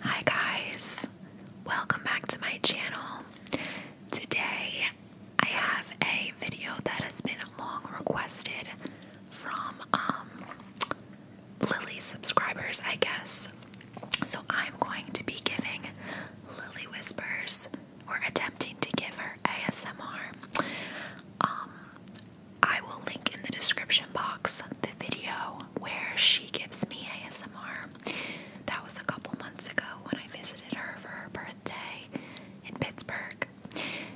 Hi guys, welcome back to my channel. Today I have a video that has been long requested from um, Lily subscribers, I guess. So I'm going to be giving Lily Whispers or attempting to give her ASMR. Um, I will link in the description box the video where she gives me ASMR. That was a couple months ago when I visited her for her birthday in Pittsburgh.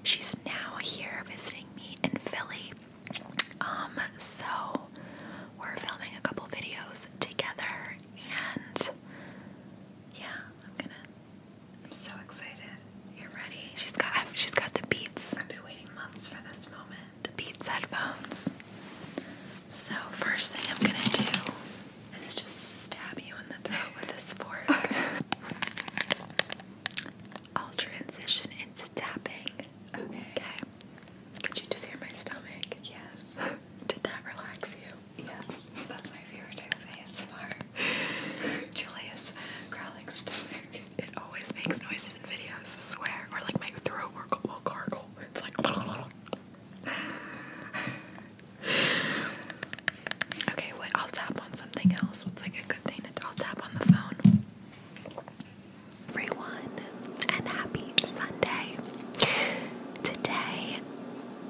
She's now here visiting me in Philly. Um, so we're filming a couple videos together and yeah, I'm gonna I'm so excited. You're ready. She's got she's got the beats. I've been waiting months for this moment the Beats headphones. So, first thing I'm gonna do is just stab you in the throat with this fork. I'll transition into tapping. Okay. Can you just hear my stomach? Yes. Did that relax you? Yes. That's my favorite type of ASMR. Julius growling stomach. It always makes noise in videos, I swear. Or like my throat will, will gargle. It's like. okay, wait, I'll tap on something else. What's like a good thing to I'll tap on the phone. Everyone, and happy Sunday. Today,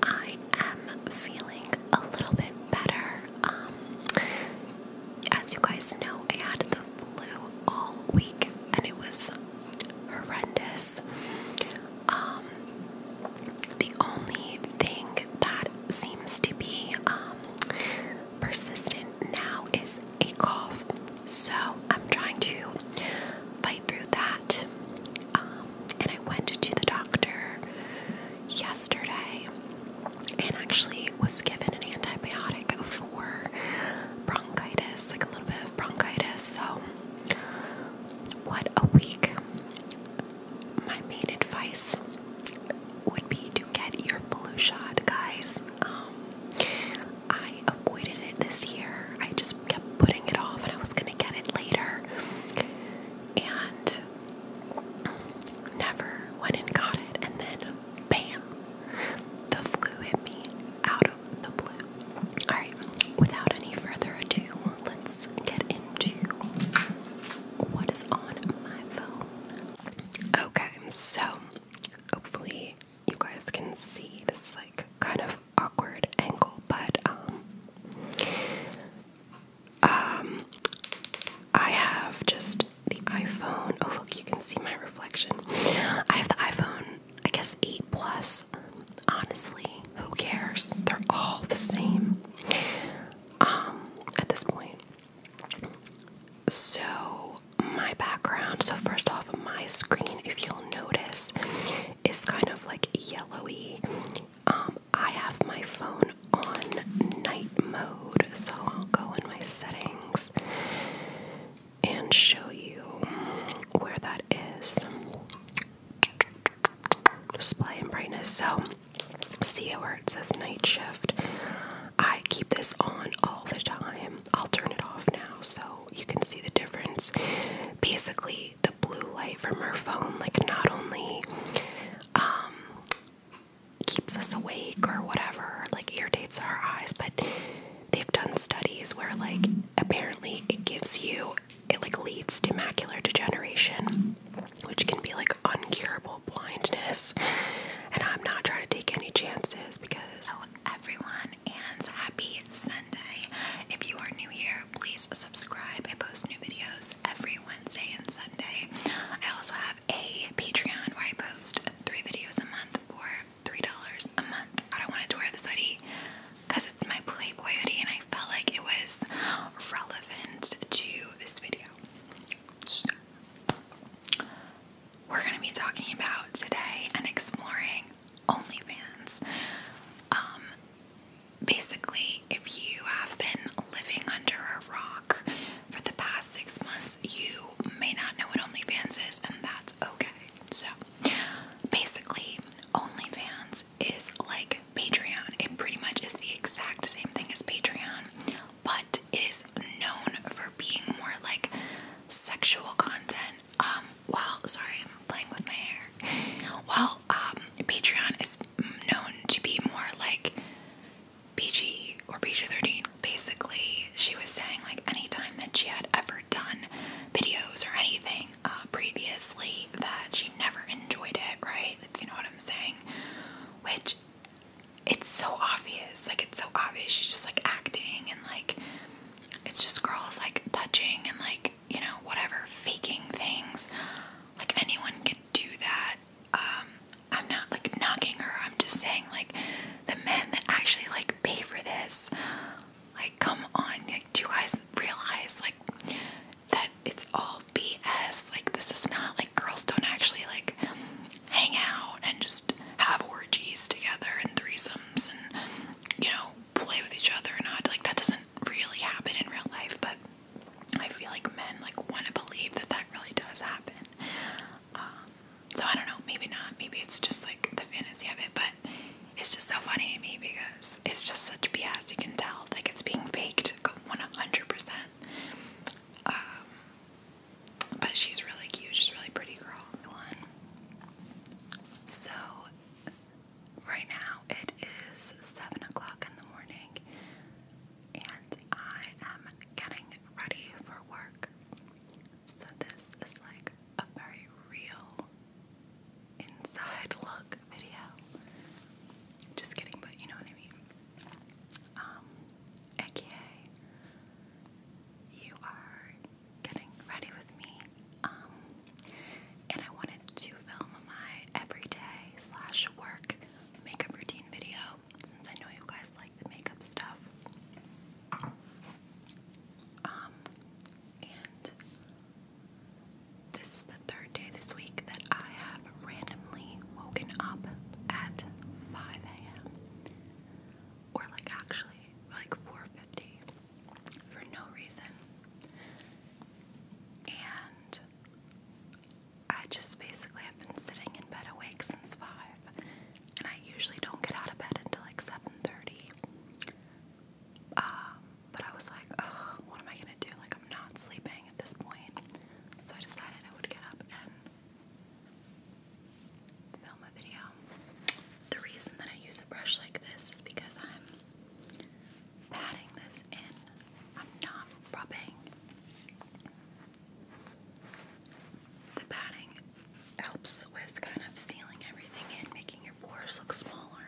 I am feeling a little bit better. Um, as you guys know, I had the flu all week and it was horrendous. Um, the only thing that seems to be um, persistent now is a cough, so I'm trying to fight through that. Um, and I went to the doctor yesterday and actually was given an antibiotic for bronchitis, like a little bit of bronchitis. So, what a week! My main advice would be to get your flu shot, guys. Um, I avoided it this year, I just kept putting it off, and I was gonna get it later. And Never went and got it, and then Bam! The flu hit me out of the blue. Alright, without any further ado, let's get into what is on my phone. Okay, so hopefully you guys can see this is like kind of awkward angle, but um um I have just the iPhone. Oh, look, you can see my reflection. I have the iPhone, I guess, 8 Plus. Honestly, who cares? They're all the same um, at this point. So, my background. So, first off, my screen, if you'll notice, is kind of like yellowy. Um, I have my phone on night mode, so I'll go in my settings and show you where that is. Display brightness. So, see where it says night shift. I keep this on all the time. I'll turn it off now so you can see the difference. Basically, the blue light from her phone, like, not only um, keeps us awake or whatever, like irritates our eyes, but they've done studies where like apparently it gives you it like leads to macular degeneration, which can be like uncurable blindness. And I'm not trying to take any chances because everyone and happy Sunday. If you are new here, please subscribe. I post new videos every Wednesday and Sunday. I also have a Patreon where I three videos a month for three dollars a month. I don't want to wear this hoodie because it's my Playboy hoodie, and I felt like it was relevant to this video. we're gonna be talking about today and exploring OnlyFans. Um, basically, if you have been living under a rock for the past six months, you may not know what OnlyFans is, and that's okay. So, basically, OnlyFans is like Patreon. It pretty much is the exact same thing as Patreon, but it is known for being more like sexual content. Um, well, sorry, I'm playing with my hair. Well, um, Patreon is known to be more like PG or B 13. Basically, she was saying, like, any time that she had ever done videos or anything uh, previously, that she never enjoyed it, right? If you know what I'm saying. Which, it's so obvious. Like, it's so obvious. She's just like acting and like, it's just girls like touching and like, you know, whatever, faking things. Like, anyone could do that um, I'm not like knocking her. I'm just saying like the men that actually like pay for this, like come on, like do you guys realize like that it's all BS? Like this is not like girls don't actually like hang out and just have orgies together and threesomes and you know play with each other or not like that doesn't really happen in real life, but I feel like men like want to believe that that really does happen. Um, so I don't know, maybe not. Maybe it's just like the fantasy of it, but it's just so funny to me because it's just such BS. You can tell like it's being faked 100%. Um, but she's really cute. She's really pretty girl. So right now it is seven o'clock in the morning and I am getting ready for work. So, this is like a very real inside look video. Just kidding, but you know what I mean. Um, aka, you are getting ready with me. Um, and I wanted to film my everyday slash work makeup routine video since I know you guys like the makeup stuff, um, and this is the third day this week that I have randomly woken up at 5 a.m. or like actually like 4:50 for no reason, and I just basically have been sitting in bed awake since five, and I usually don't get out of bed until like seven thirty. Um, but I was like, what am I gonna do? Like I'm not sleeping at this point, so I decided I would get up and film a video. The reason that I use a brush like this is because I'm patting this in I'm not rubbing. The batting helps with kind of sealing everything in, making your pores look smaller,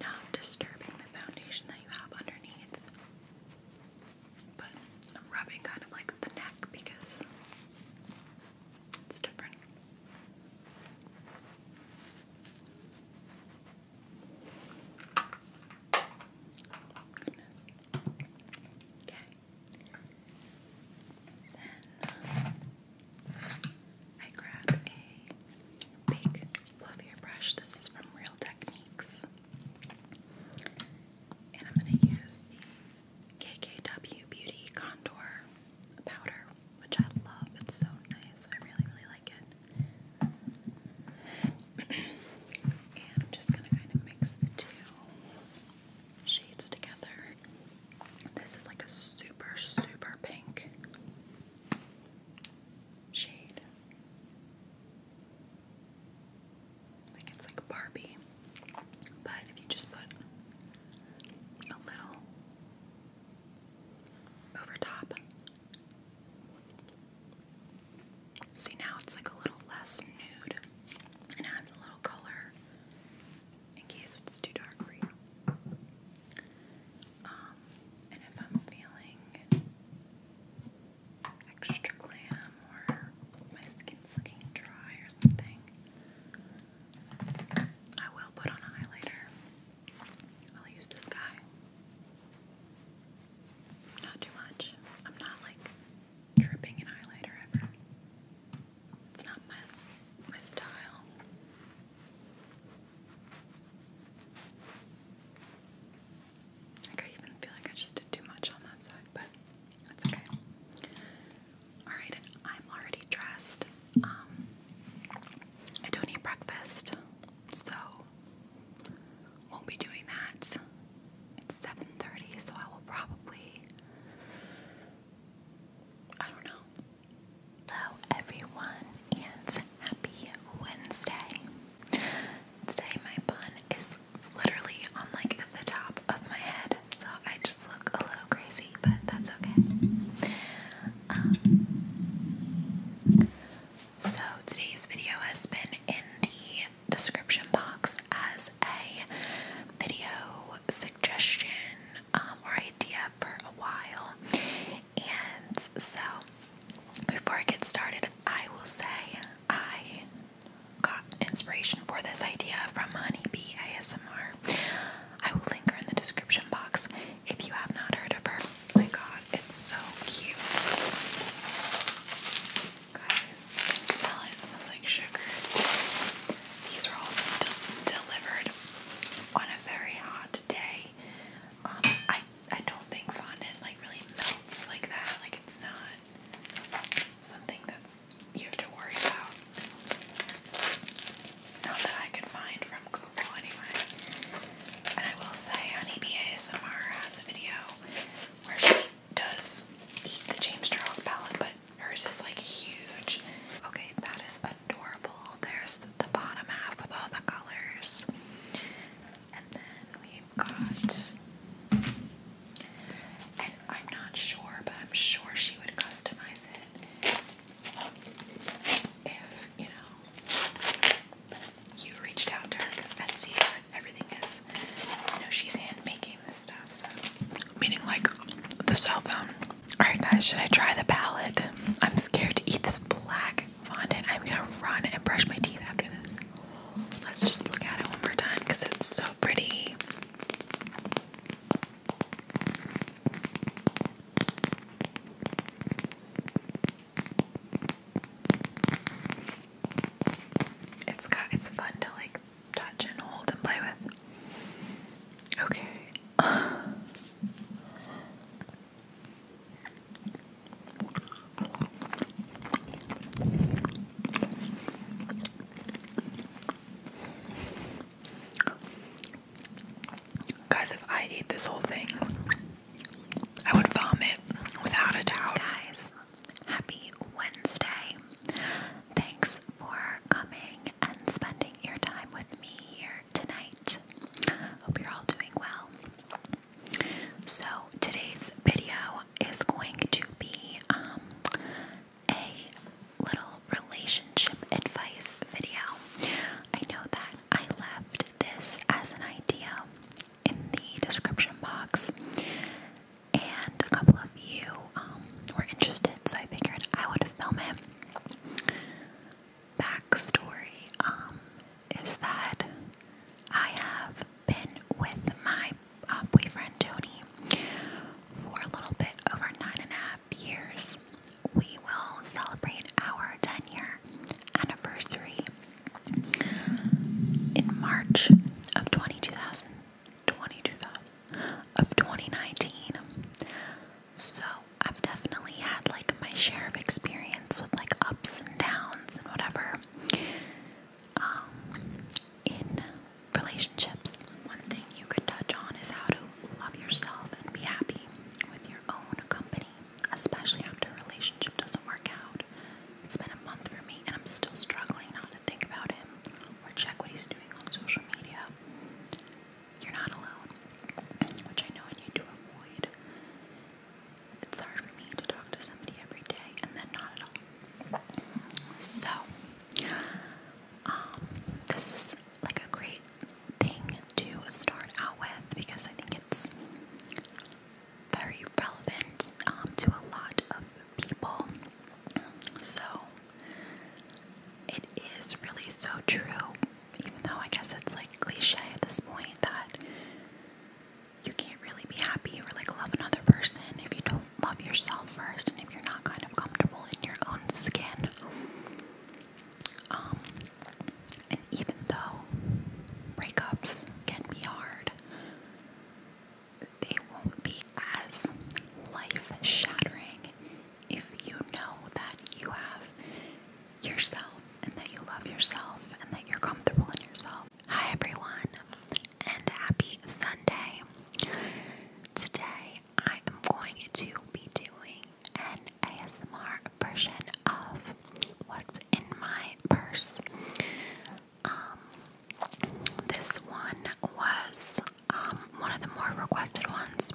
not disturbing the foundation that you have underneath. But I'm rubbing kind of like the neck because it's different. Okay. Then um, I grab a big fluffier brush. This is from Real Techniques. And I'm going to use the KKW Beauty Contour powder, which I love. It's so nice. I really, really like it. I'm just going to kind of mix the two shades together. This is like a super, super pink shade. Like it's like Barbie. But if you just put a little over top, See now it's like a little less nude and adds a little color in case it's too dark for you. Um, and if I'm feeling extra glam or my skin's looking dry or something, I will put on a highlighter. I'll use this guy. Not too much. I'm not like dripping in highlighter ever. It's not my my style. I even feel like I just did too much on that side, but that's okay. Alright, I'm already dressed. Um, I don't eat breakfast, so won't be doing that. It's 7:30, so I will probably I don't know. Hello everyone and happy Wednesday. Today my bun is literally on like the top of my head, so I just look a little crazy, but that's okay. Um, so today's video has been in the description box as a video suggestion um, or idea for a while. And so before I get started, I will say I got inspiration for this idea from Honeybee ASMR. I will link her in the description box. If you have not heard of her, my god, it's so cute. Guys, smell it. smells like sugar. These were also de delivered on a very hot day. Um, I I don't think fondant like really melts like that. Like it's not something that's you have to worry about. Not that I could find from anyway. And I will say Honeybee ASMR has a video where she does eat the James Charles palette, but hers is like huge. Okay, that is adorable. There's the bottom half with all the colors. And then we've got and I'm not sure, but I'm sure she would customize it if, you know, you reached out to her because Etsy, uh, everything is, you know, she's hand making this stuff. So. Meaning like the cell phone. Alright, guys, should I try the palette? I'm scared to eat this black fondant. I'm gonna run and brush my teeth after this. Let's just look at it one more time because it's so pretty. It's got it's fun to like touch and hold and play with. Okay. Guys, if I eat this whole thing, I would vomit without a doubt. Guys, happy Wednesday. Thanks for coming and spending your time with me here tonight. Hope you're all doing well. So, today's video is going to be um, a little relationship advice video. I know that I left this as an idea in the description box, and a couple of you um, were interested, so I figured I would film it. Backstory um, is that I have been with my uh, boyfriend Tony for a little bit over nine and a half years we will celebrate our 10 year anniversary in March of 2020, of 2019. So I've definitely had like my share of experience with like ups and downs and whatever um, in relationships. One thing you could touch on is how to love yourself and be happy with your own company especially after a relationship doesn't work out. It's been a month for me, and I'm still struggling not to think about him or check what he's doing on social media. You're not alone, which I know I need to avoid. It's hard for me to talk to somebody every day and then not at all. So, um, this is like a great thing to start out with because I think it's very relevant um, to a lot of people. So it is really so true, even though I guess it's like cliche at this point that you can't really be happy or like love another person if you don't love yourself first and if you're not kind of comfortable in your own skin. Um, and even though breakups can be hard, they won't be as life shattering if you know that you have yourself and that you love yourself and that you're comfortable in yourself. Hi, everyone, and happy Sunday. Today I am going to be doing an ASMR version of what's in my purse. Um, this one was um, one of the more requested ones.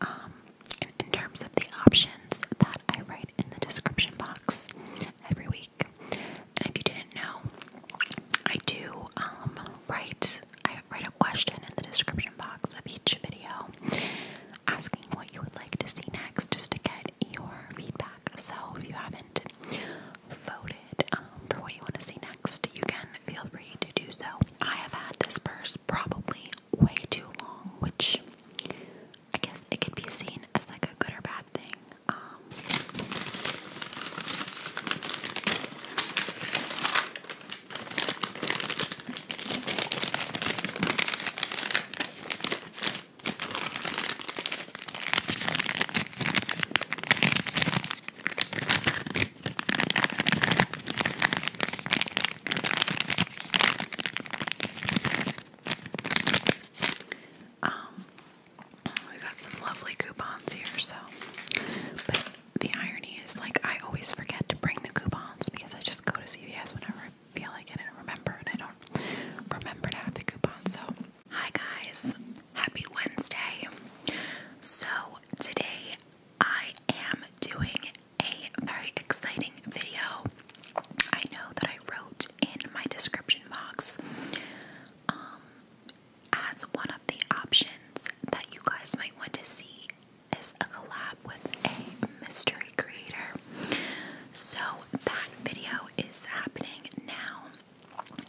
Um, in, terms of the options that I write in the description box every week, and if you didn't know, I do um, write I write a question in the description box of each video asking what you would like to see next just to get your feedback. So if you haven't voted um, for what you want to see next, you can feel free to do so. I have had this purse probably way too long, which I guess it could be seen as like a good or bad thing. Um, um, we got some lovely coupons here, so the irony is, like, I always forget to bring the coupons because I just go to CVS whenever I feel like it and remember, and I don't remember to have the coupons. So, hi guys, happy Wednesday. So, today I am doing a very exciting video. I know that I wrote in my description box um, as one of the options that you guys might want to see is a collab with a mystery creator. So that video is happening now,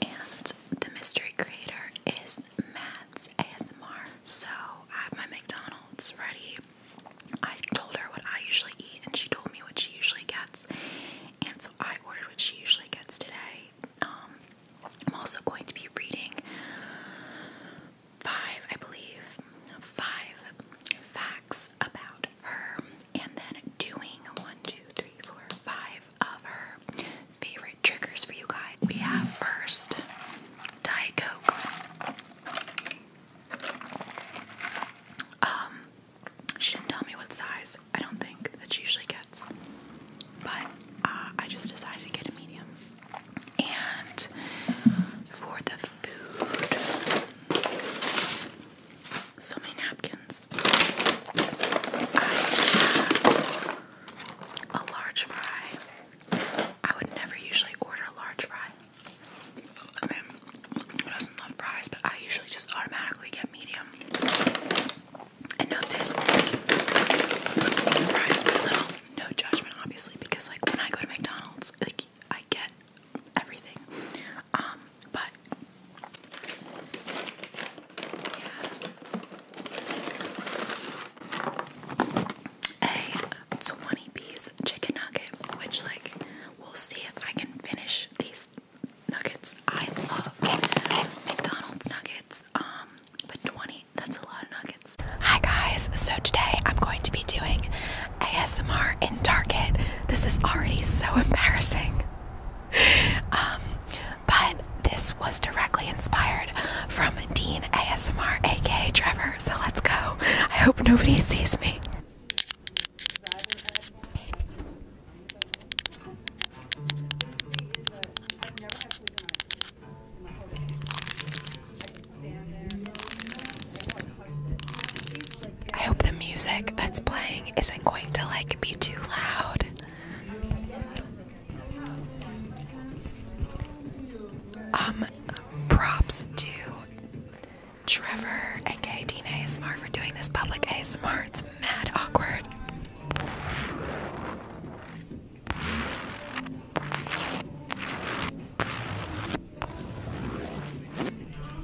and the mystery creator is Matt's ASMR. So I have my McDonald's ready. I told her what I usually eat, and she told me what she usually gets, and so I ordered what she usually gets today. Um, I'm also going to be reading five, I believe, five facts about her, and then doing one, two, three, four, five of her favorite triggers for you guys. We have first Diet Coke. Um, she didn't tell me what size. I don't think that she usually gets, but uh, I just decided to get a medium. And for the food, so many napkins. I have a large fry. I would never usually order a large fry. I mean, who doesn't love fries? But I usually just automatically get medium. And note this surprised me a little no judgment obviously because like when I go to McDonald's like I get everything um, but a 20 piece chicken nugget which like we'll see if I can finish these nuggets I love McDonald's nuggets um, Hi guys, so today I'm going to be doing ASMR in Target. This is already so embarrassing. Um, but this was directly inspired from Dean ASMR, aka Trevor. So let's go. I hope nobody sees me. I hope the music that's playing isn't going to like be too loud. Um, props to Trevor, aka Teen Smart, for doing this public ASMR. It's mad awkward.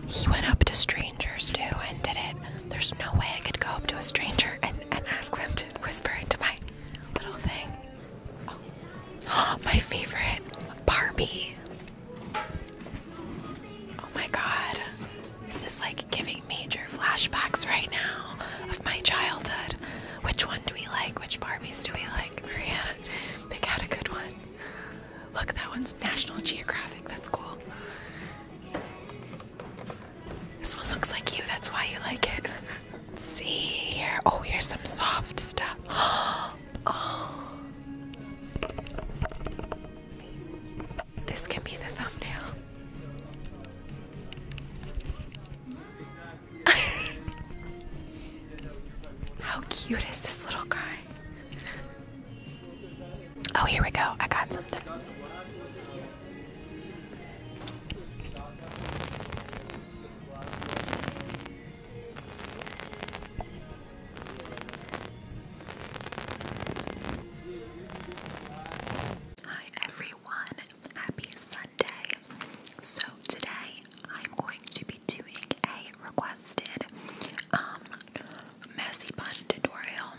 He went up to strangers too and did it. There's no way I could go up to a stranger and, and ask them to whisper into my little thing. my favorite Barbie. Oh my god. This is like giving major flashbacks right now of my childhood. Which one do we like? Which Barbies do we like? Maria, pick out a good one. Look, that one's National Geographic. That's cool. This one looks like you. That's why you like it. see here. Oh, here's some soft stuff. Oh. This can be the thumbnail. How cute is this little guy? Oh, here we go. I got something. Hi, everyone everyone. Happy Sunday. So today I'm going to be doing a requested um, messy bun tutorial.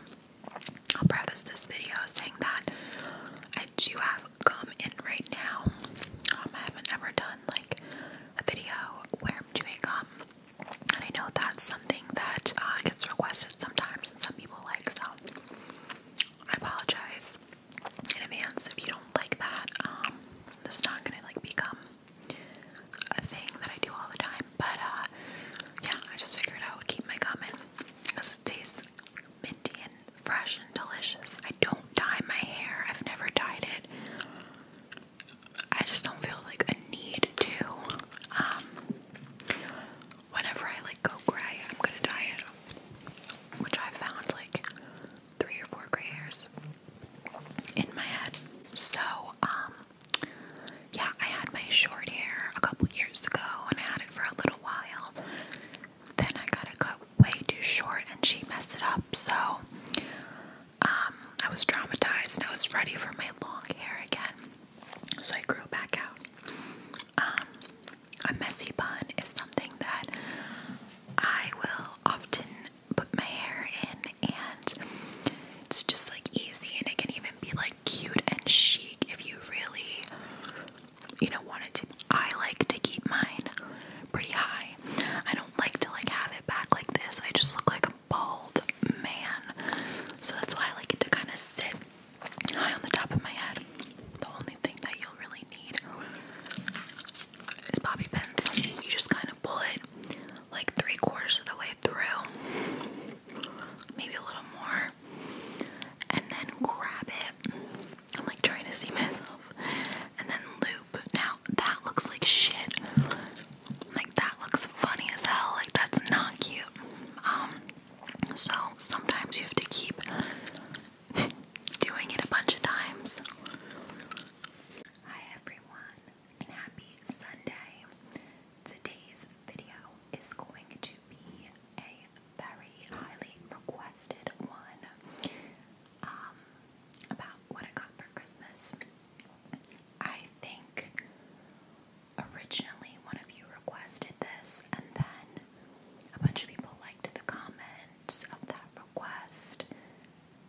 I'll preface this video saying that I do have gum in right now. Um, I haven't ever done like a video where I'm doing gum. And I know that's something that uh, gets requested sometimes and some people like so I apologize in advance if you don't like that. Um, this is not gonna like become a thing that I do all the time, but uh, yeah, I just figured I would keep my comment because it tastes minty and fresh and delicious. I don't dye my hair, I've never dyed it. I just don't feel like a need to. Um, whenever I like go gray, I'm gonna dye it. Which I found like three or four gray hairs in my head. So, um, yeah, I had my short hair a couple years ago and I had it for a little while. Then I got it cut way too short and she messed it up. So, um, I was traumatized and I was ready for my long hair again. So I grew back out. Um, a messy bun is something that I will often put my hair in, and it's just like easy, and it can even be like cute and chic if you really, you know, want it to. I like to keep mine pretty high. I don't like to like have it back like this. I just look like a bald man, so that's why I like it to kind of sit high on the top of my head. The only thing that you'll really need is bobby pins. You just kind of pull it like three quarters of the way through, maybe a little more, and then grab it. I'm like trying to see myself, and then loop. Now that looks like shit. Like that looks funny as hell. Like that's not cute. Um, so sometimes you have to keep doing it a bunch of times. Hi everyone, and happy Sunday. Today's video is going to be a very highly requested one um, about what I got for Christmas. I think originally one of you requested this, and then a bunch of people liked the comments of that request.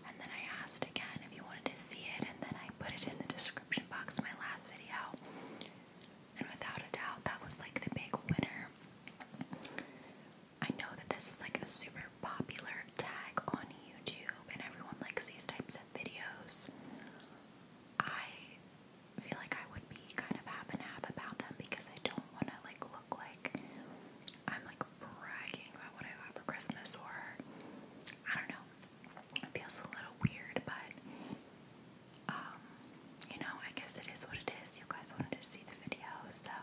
And then I asked again if you wanted to see it, and then I put it in the description box in my last video. And without a doubt, that was like the big winner. I know that this is like a super popular tag on YouTube, and everyone likes these types of videos. I feel like I would be kind of half and half about them because I don't want to like look like I'm like bragging about what I got for Christmas or I don't know. It feels a little weird, but um, you know, I guess it is what it is. You guys wanted to see the video, so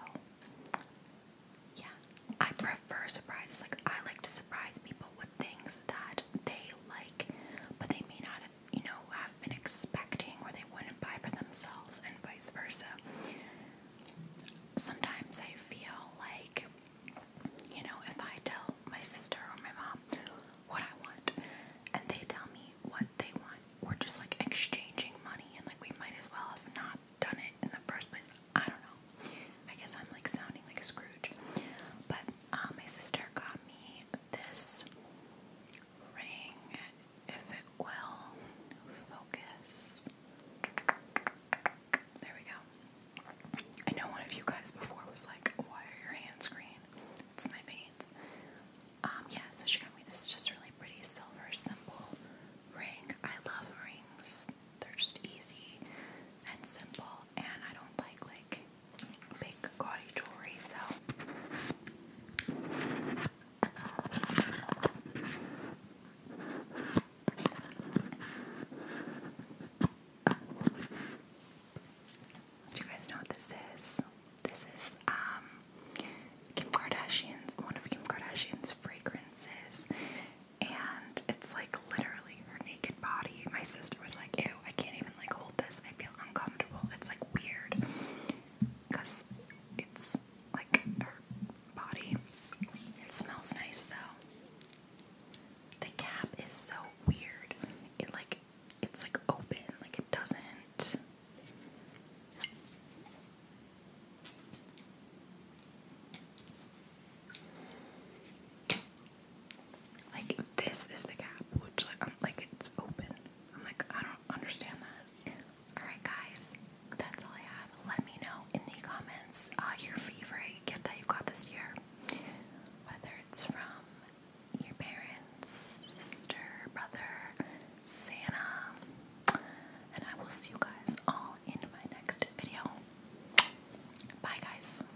yeah. I prefer surprises. Like I like to surprise people with things that they like, but they may not you know, have been expecting or they wouldn't buy for themselves, and vice versa. Sometimes I feel like, you know, if I tell my sister or my mom what I want and they tell me what they want, we're just like exchanging money and like we might as well have not done it in the first place. I don't know. I guess I'm like sounding like a Scrooge. But um, my sister got me this ring, if it will focus. There we go. I know one of you guys before was like, why are your hands green? It's my veins. Um, yeah, so she got me this just really pretty silver simple ring. I love rings. They're just easy and simple and I don't like like big gaudy jewelry, so do you guys know what this is? This is um, Kim Kardashian's one of Kim Kardashian's fragrances and it's like literally her naked body. My sister was like, ew, I can't even like hold this. I feel uncomfortable. It's like weird because it's like her body. It smells nice though. The cap is so weird. It like it's like open, like it doesn't. Like this is the gap, which like like it's open. I'm like I don't understand that. All right, guys, that's all I have. Let me know in the comments uh, your favorite gift that you got this year, whether it's from your parents, sister, brother, Santa, and I will see you guys all in my next video. Bye, guys.